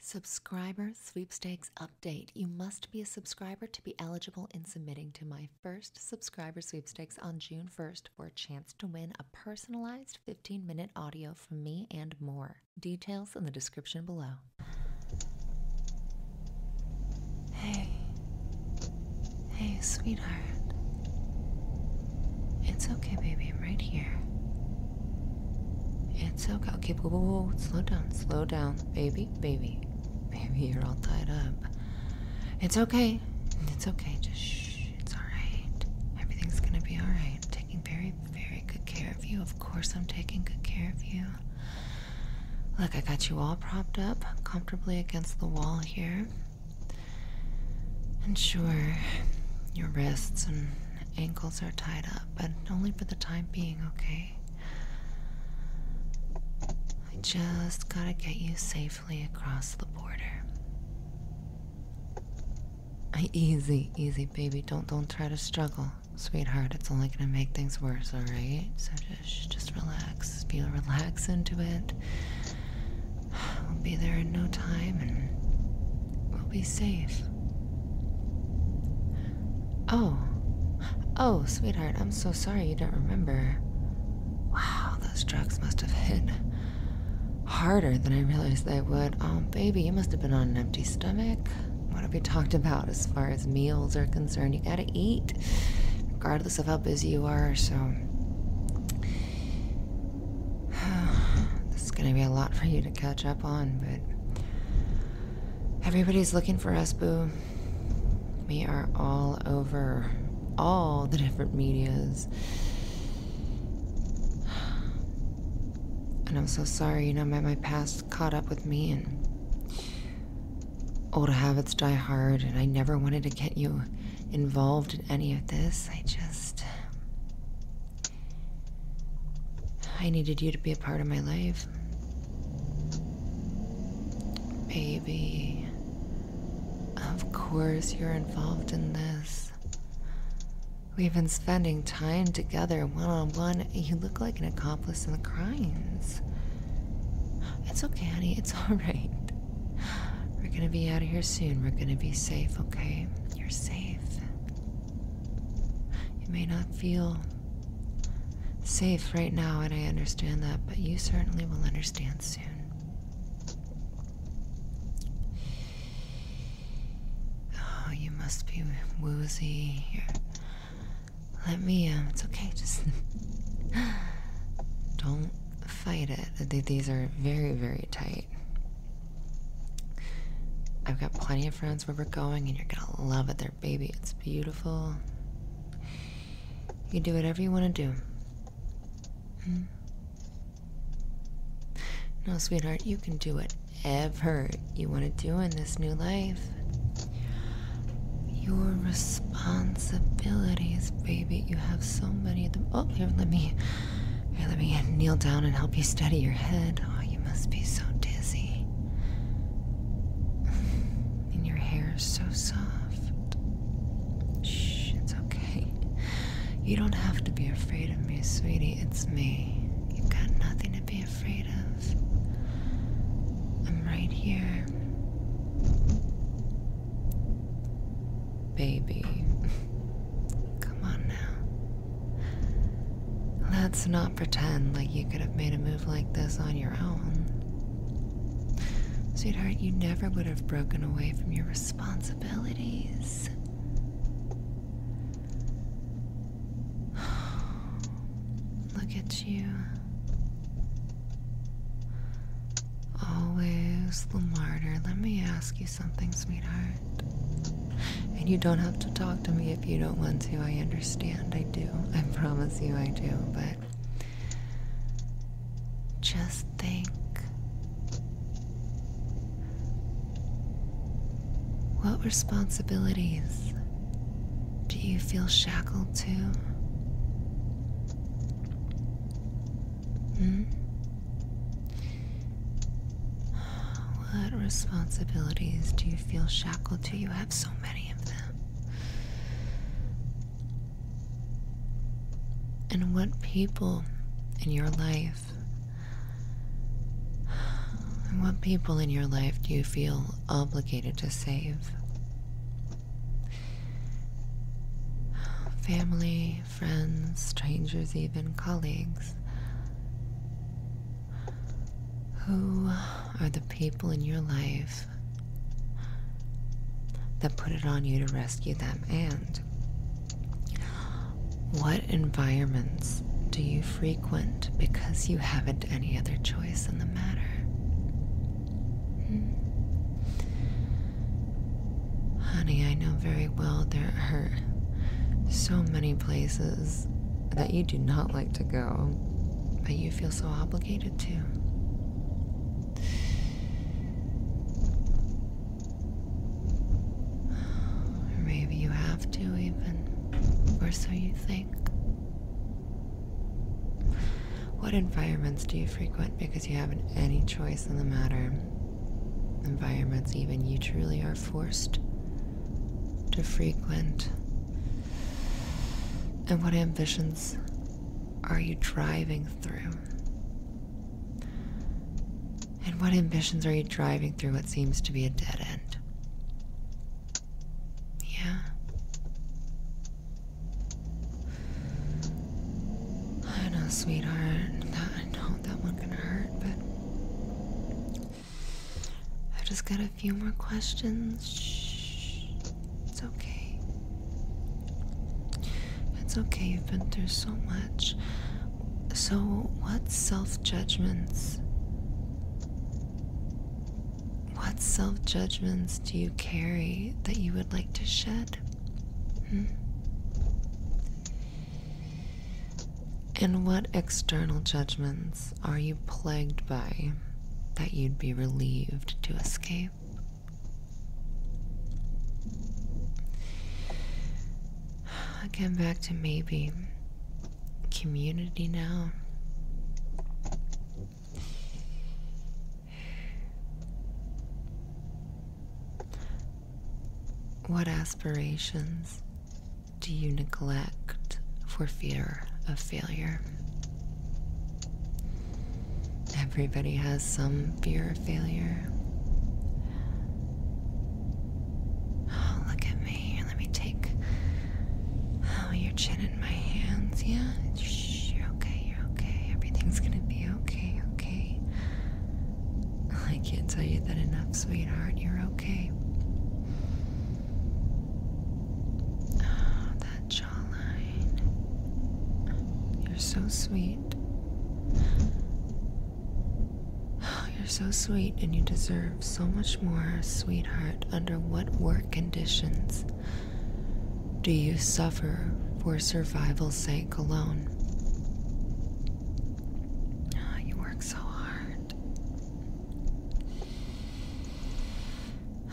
Subscriber sweepstakes update. You must be a subscriber to be eligible in submitting to my first subscriber sweepstakes on June 1st for a chance to win a personalized 15 minute audio from me and more. Details in the description below. Hey. Hey, sweetheart. It's okay, baby. I'm right here. It's okay. Okay, Slow down, slow down. Baby, baby. Baby, you're all tied up. It's okay. It's okay. Just It's alright. Everything's gonna be alright. I'm taking very, very good care of you. Of course, I'm taking good care of you. Look, I got you all propped up comfortably against the wall here. And sure, your wrists and ankles are tied up, but only for the time being, okay? I just gotta get you safely across the border. Easy, easy, baby. Don't don't try to struggle, sweetheart. It's only gonna make things worse, alright? So just just relax. Feel relaxed into it. We'll be there in no time and we'll be safe. Oh. Oh, sweetheart, I'm so sorry you don't remember. Wow, those drugs must have hit harder than I realized they would. Oh, baby, you must have been on an empty stomach. What have we talked about as far as meals are concerned? You gotta eat, regardless of how busy you are, so. this is gonna be a lot for you to catch up on, but. Everybody's looking for us, boo. We are all over all the different medias. And I'm so sorry, you know, my, my past caught up with me and old habits die hard, and I never wanted to get you involved in any of this. I just. I needed you to be a part of my life. Baby, of course you're involved in this. We've been spending time together one on one. You look like an accomplice in the crimes. It's okay, honey. It's alright. We're gonna be out of here soon. We're gonna be safe, okay? You're safe. You may not feel safe right now, and I understand that, but you certainly will understand soon. Oh, you must be woozy. Here. Let me, um, it's okay, just don't fight it. These are very, very tight. I've got plenty of friends where we're going, and you're gonna love it there, baby. It's beautiful. You do whatever you want to do. Hmm? No, sweetheart, you can do whatever you want to do in this new life. Your responsibilities, baby. You have so many of them. Oh, here, let me, here, let me kneel down and help you steady your head. Oh, you you must be so dizzy. and your hair so soft. Shh, it's okay. You don't have to be afraid of me, sweetie. It's me. You've got nothing to be afraid of. I'm right here. Baby. Come on now. Let's not pretend like you could have made a move like this on your own. Sweetheart, you never would have broken away from your responsibilities. Look at you. Always the martyr. Let me ask you something, sweetheart. And you don't have to talk to me if you don't want to. I understand. I do. I promise you I do. But just think what responsibilities do you feel shackled to? Hmm? What responsibilities do you feel shackled to? You have so many of them. And what people in your life, and what people in your life do you feel obligated to save? Family, friends, strangers, even colleagues. Who are the people in your life that put it on you to rescue them? And what environments do you frequent because you haven't any other choice in the matter? Hmm. Honey, I know very well there are so many places that you do not like to go, but you feel so obligated to. maybe you have to, even, or so you think. What environments do you frequent because you haven't any choice in the matter? Environments, even you truly are forced to frequent? And what ambitions are you driving through? And what ambitions are you driving through what seems to be a dead end? Yeah. I know, sweetheart. I know that one can hurt, but I've just got a few more questions. Shh. It's okay. It's okay, you've been through so much. So, what self judgments? What self judgments do you carry that you would like to shed? Hmm? And what external judgments are you plagued by that you'd be relieved to escape? Again, back to maybe community now. What aspirations do you neglect for fear of failure? Everybody has some fear of failure. Oh, look at me. Let me take oh, your chin in my hands. Yeah, you're okay. You're okay. Everything's gonna be okay. Okay. I can't tell you that enough, sweetheart. You're okay. Ah, that jawline. You're so sweet. Ah, you're so sweet, and you deserve so much more, sweetheart. Under what work conditions do you suffer for survival's sake alone? Ah, you work so hard.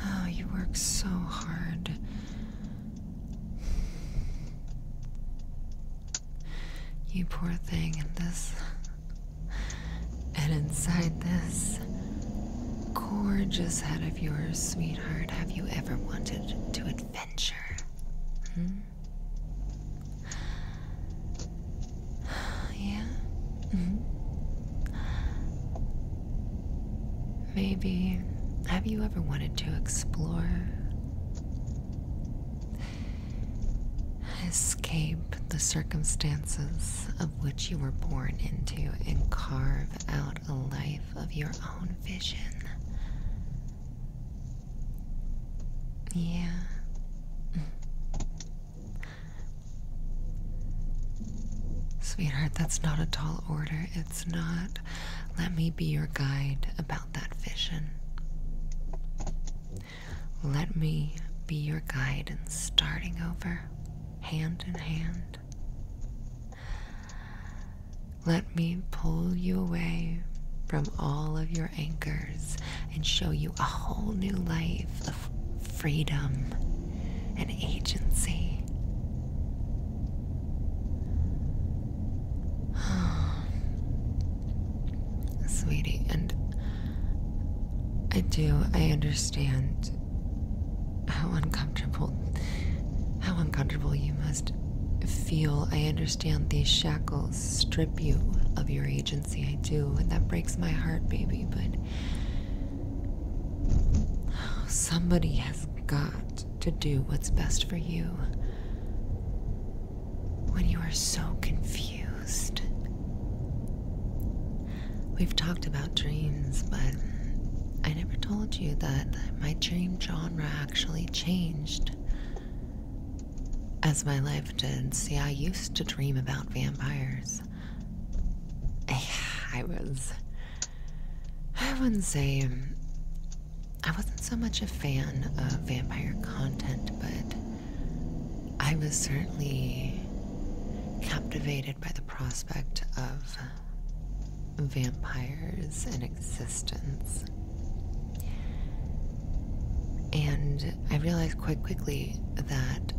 Oh, you work so hard. You poor thing in this. And inside this gorgeous head of yours, sweetheart, have you ever wanted to adventure? Hmm? yeah? -hmm. Maybe. Have you ever wanted to explore? Escape the circumstances of which you were born into and carve out a life of your own vision. Yeah. Sweetheart, that's not a tall order. It's not. Let me be your guide about that vision. Let me be your guide in starting over, hand in hand. Let me pull you away from all of your anchors and show you a whole new life of freedom and agency. Sweetie, and I do, I understand how uncomfortable, how uncomfortable you must feel. I understand these shackles strip you of your agency emergency, I do, and that breaks my heart, baby, but somebody has got to do what's best for you when you are so confused. We've talked about dreams, but I never told you that my dream genre actually changed. As my life did, see, I used to dream about vampires. Eh, I was. I wouldn't say. I wasn't so much a fan of vampire content, but I was certainly captivated by the prospect of vampires in existence. And I realized quite quickly that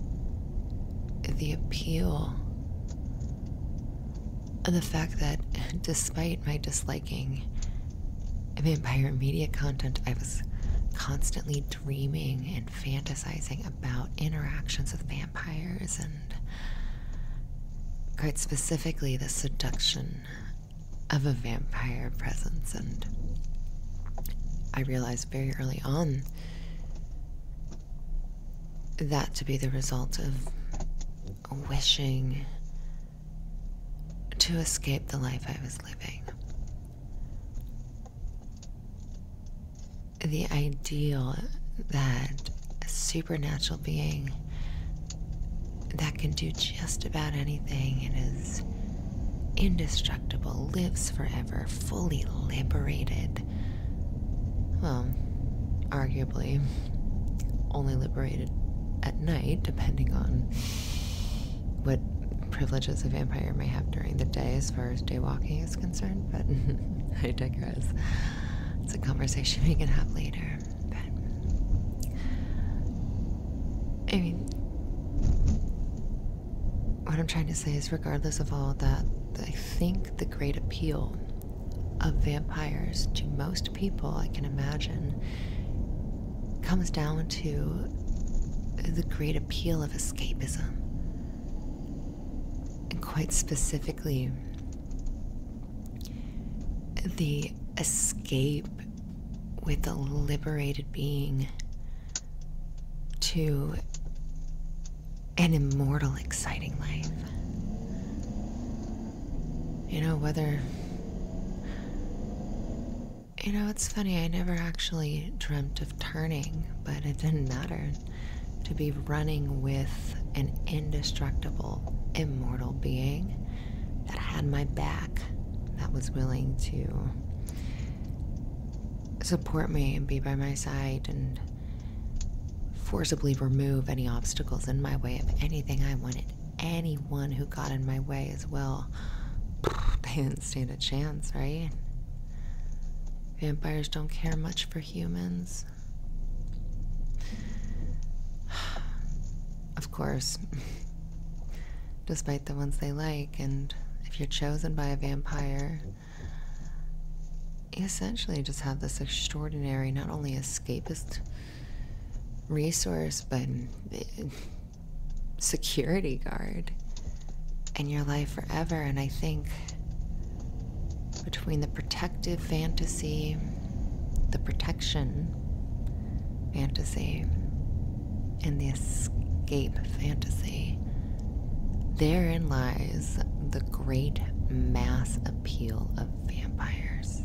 the appeal of the fact that, despite my disliking vampire media content, I was constantly dreaming and fantasizing about interactions with vampires and quite specifically the seduction of a vampire presence, and I realized very early on that to be the result of wishing to escape the life I was living. The ideal that a supernatural being that can do just about anything and is indestructible, lives forever, fully liberated. Well, arguably, only liberated at night, depending on what privileges a vampire may have during the day as far as day walking is concerned, but I digress. It's a conversation we can have later. I mean, what I'm trying to say is, regardless of all that, I think the great appeal of vampires to most people, I can imagine, comes down to the great appeal of escapism. And quite specifically, the escape with a liberated being to an immortal, exciting life. You know, whether. You know, it's funny, I never actually dreamt of turning, but it didn't matter to be running with an indestructible, immortal being that had my back, that was willing to support me and be by my side and forcibly remove any obstacles in my way of anything I wanted. Anyone who got in my way as well, they didn't stand a chance, right? Vampires don't care much for humans. Of course, despite the ones they like, and if you're chosen by a vampire, you essentially just have this extraordinary, not only escapist resource, but eh, security guard in your life forever. And I think between the protective fantasy, the protection fantasy, and the escape fantasy. Therein lies the great mass appeal of vampires.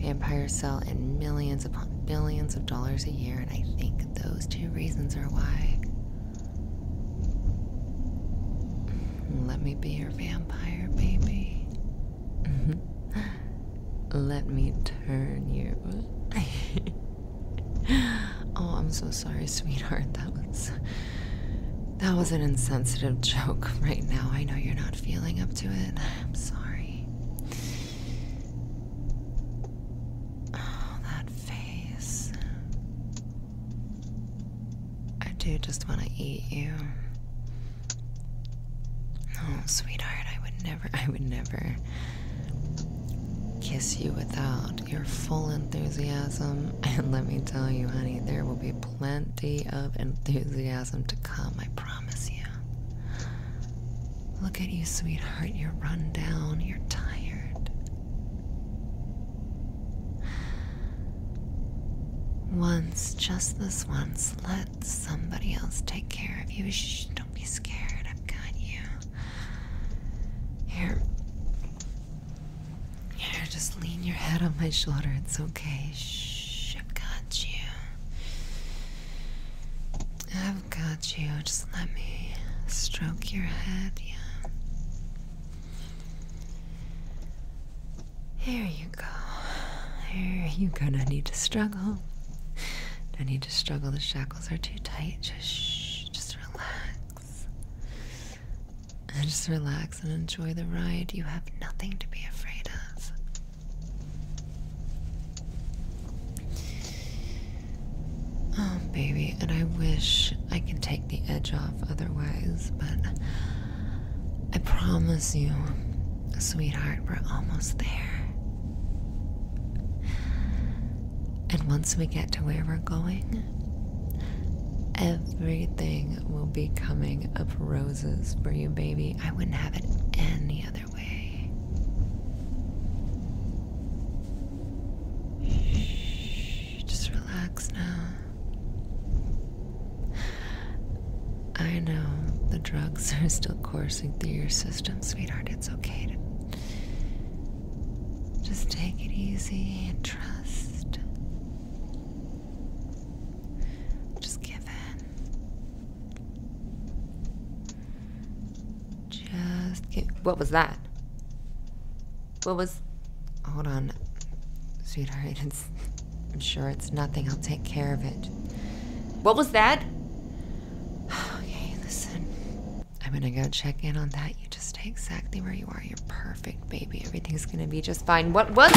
Vampires sell in millions upon billions of dollars a year, and I think those two reasons are why. Let me be your vampire, baby. Mm-hmm. Let me turn you. oh, I'm so sorry, sweetheart. That was that was an insensitive joke right now. I know you're not feeling up to it. I'm sorry. Oh, that face. I do just want to eat you. Oh, sweetheart, I would never, I would never kiss you without your full enthusiasm. And let me tell you, honey, there will be plenty of enthusiasm to come, I promise you. Look at you, sweetheart, you're run down, you're tired. Once, just this once, let somebody else take care of you. Shh, don't be scared. I've got you. Here. Here, just lean your head on my shoulder. It's okay. Shh, I've got you. I've got you. Just let me stroke your head. Yeah. Here you go. Here you are gonna need to struggle. No need just struggle. The shackles are too tight. Just just relax. And just relax and enjoy the ride. You have nothing to be afraid of. Oh, baby, and I wish I can take the edge off otherwise, but I promise you, Sweetheart, we're almost there. And once we get to where we're going, everything will be coming up roses for you, baby. I wouldn't have it any other way. Shh, just relax now. I know the drugs are still coursing through your system sweetheart. It's okay just take it easy and trust. Just give in. Just give. What was that? What was. Hold on, sweetheart. It's, I'm sure it's nothing. I'll take care of it. What was that? Okay, listen. I'm gonna go check in on that. You just stay exactly where you are. You're perfect, baby. Everything's gonna be just fine. What was.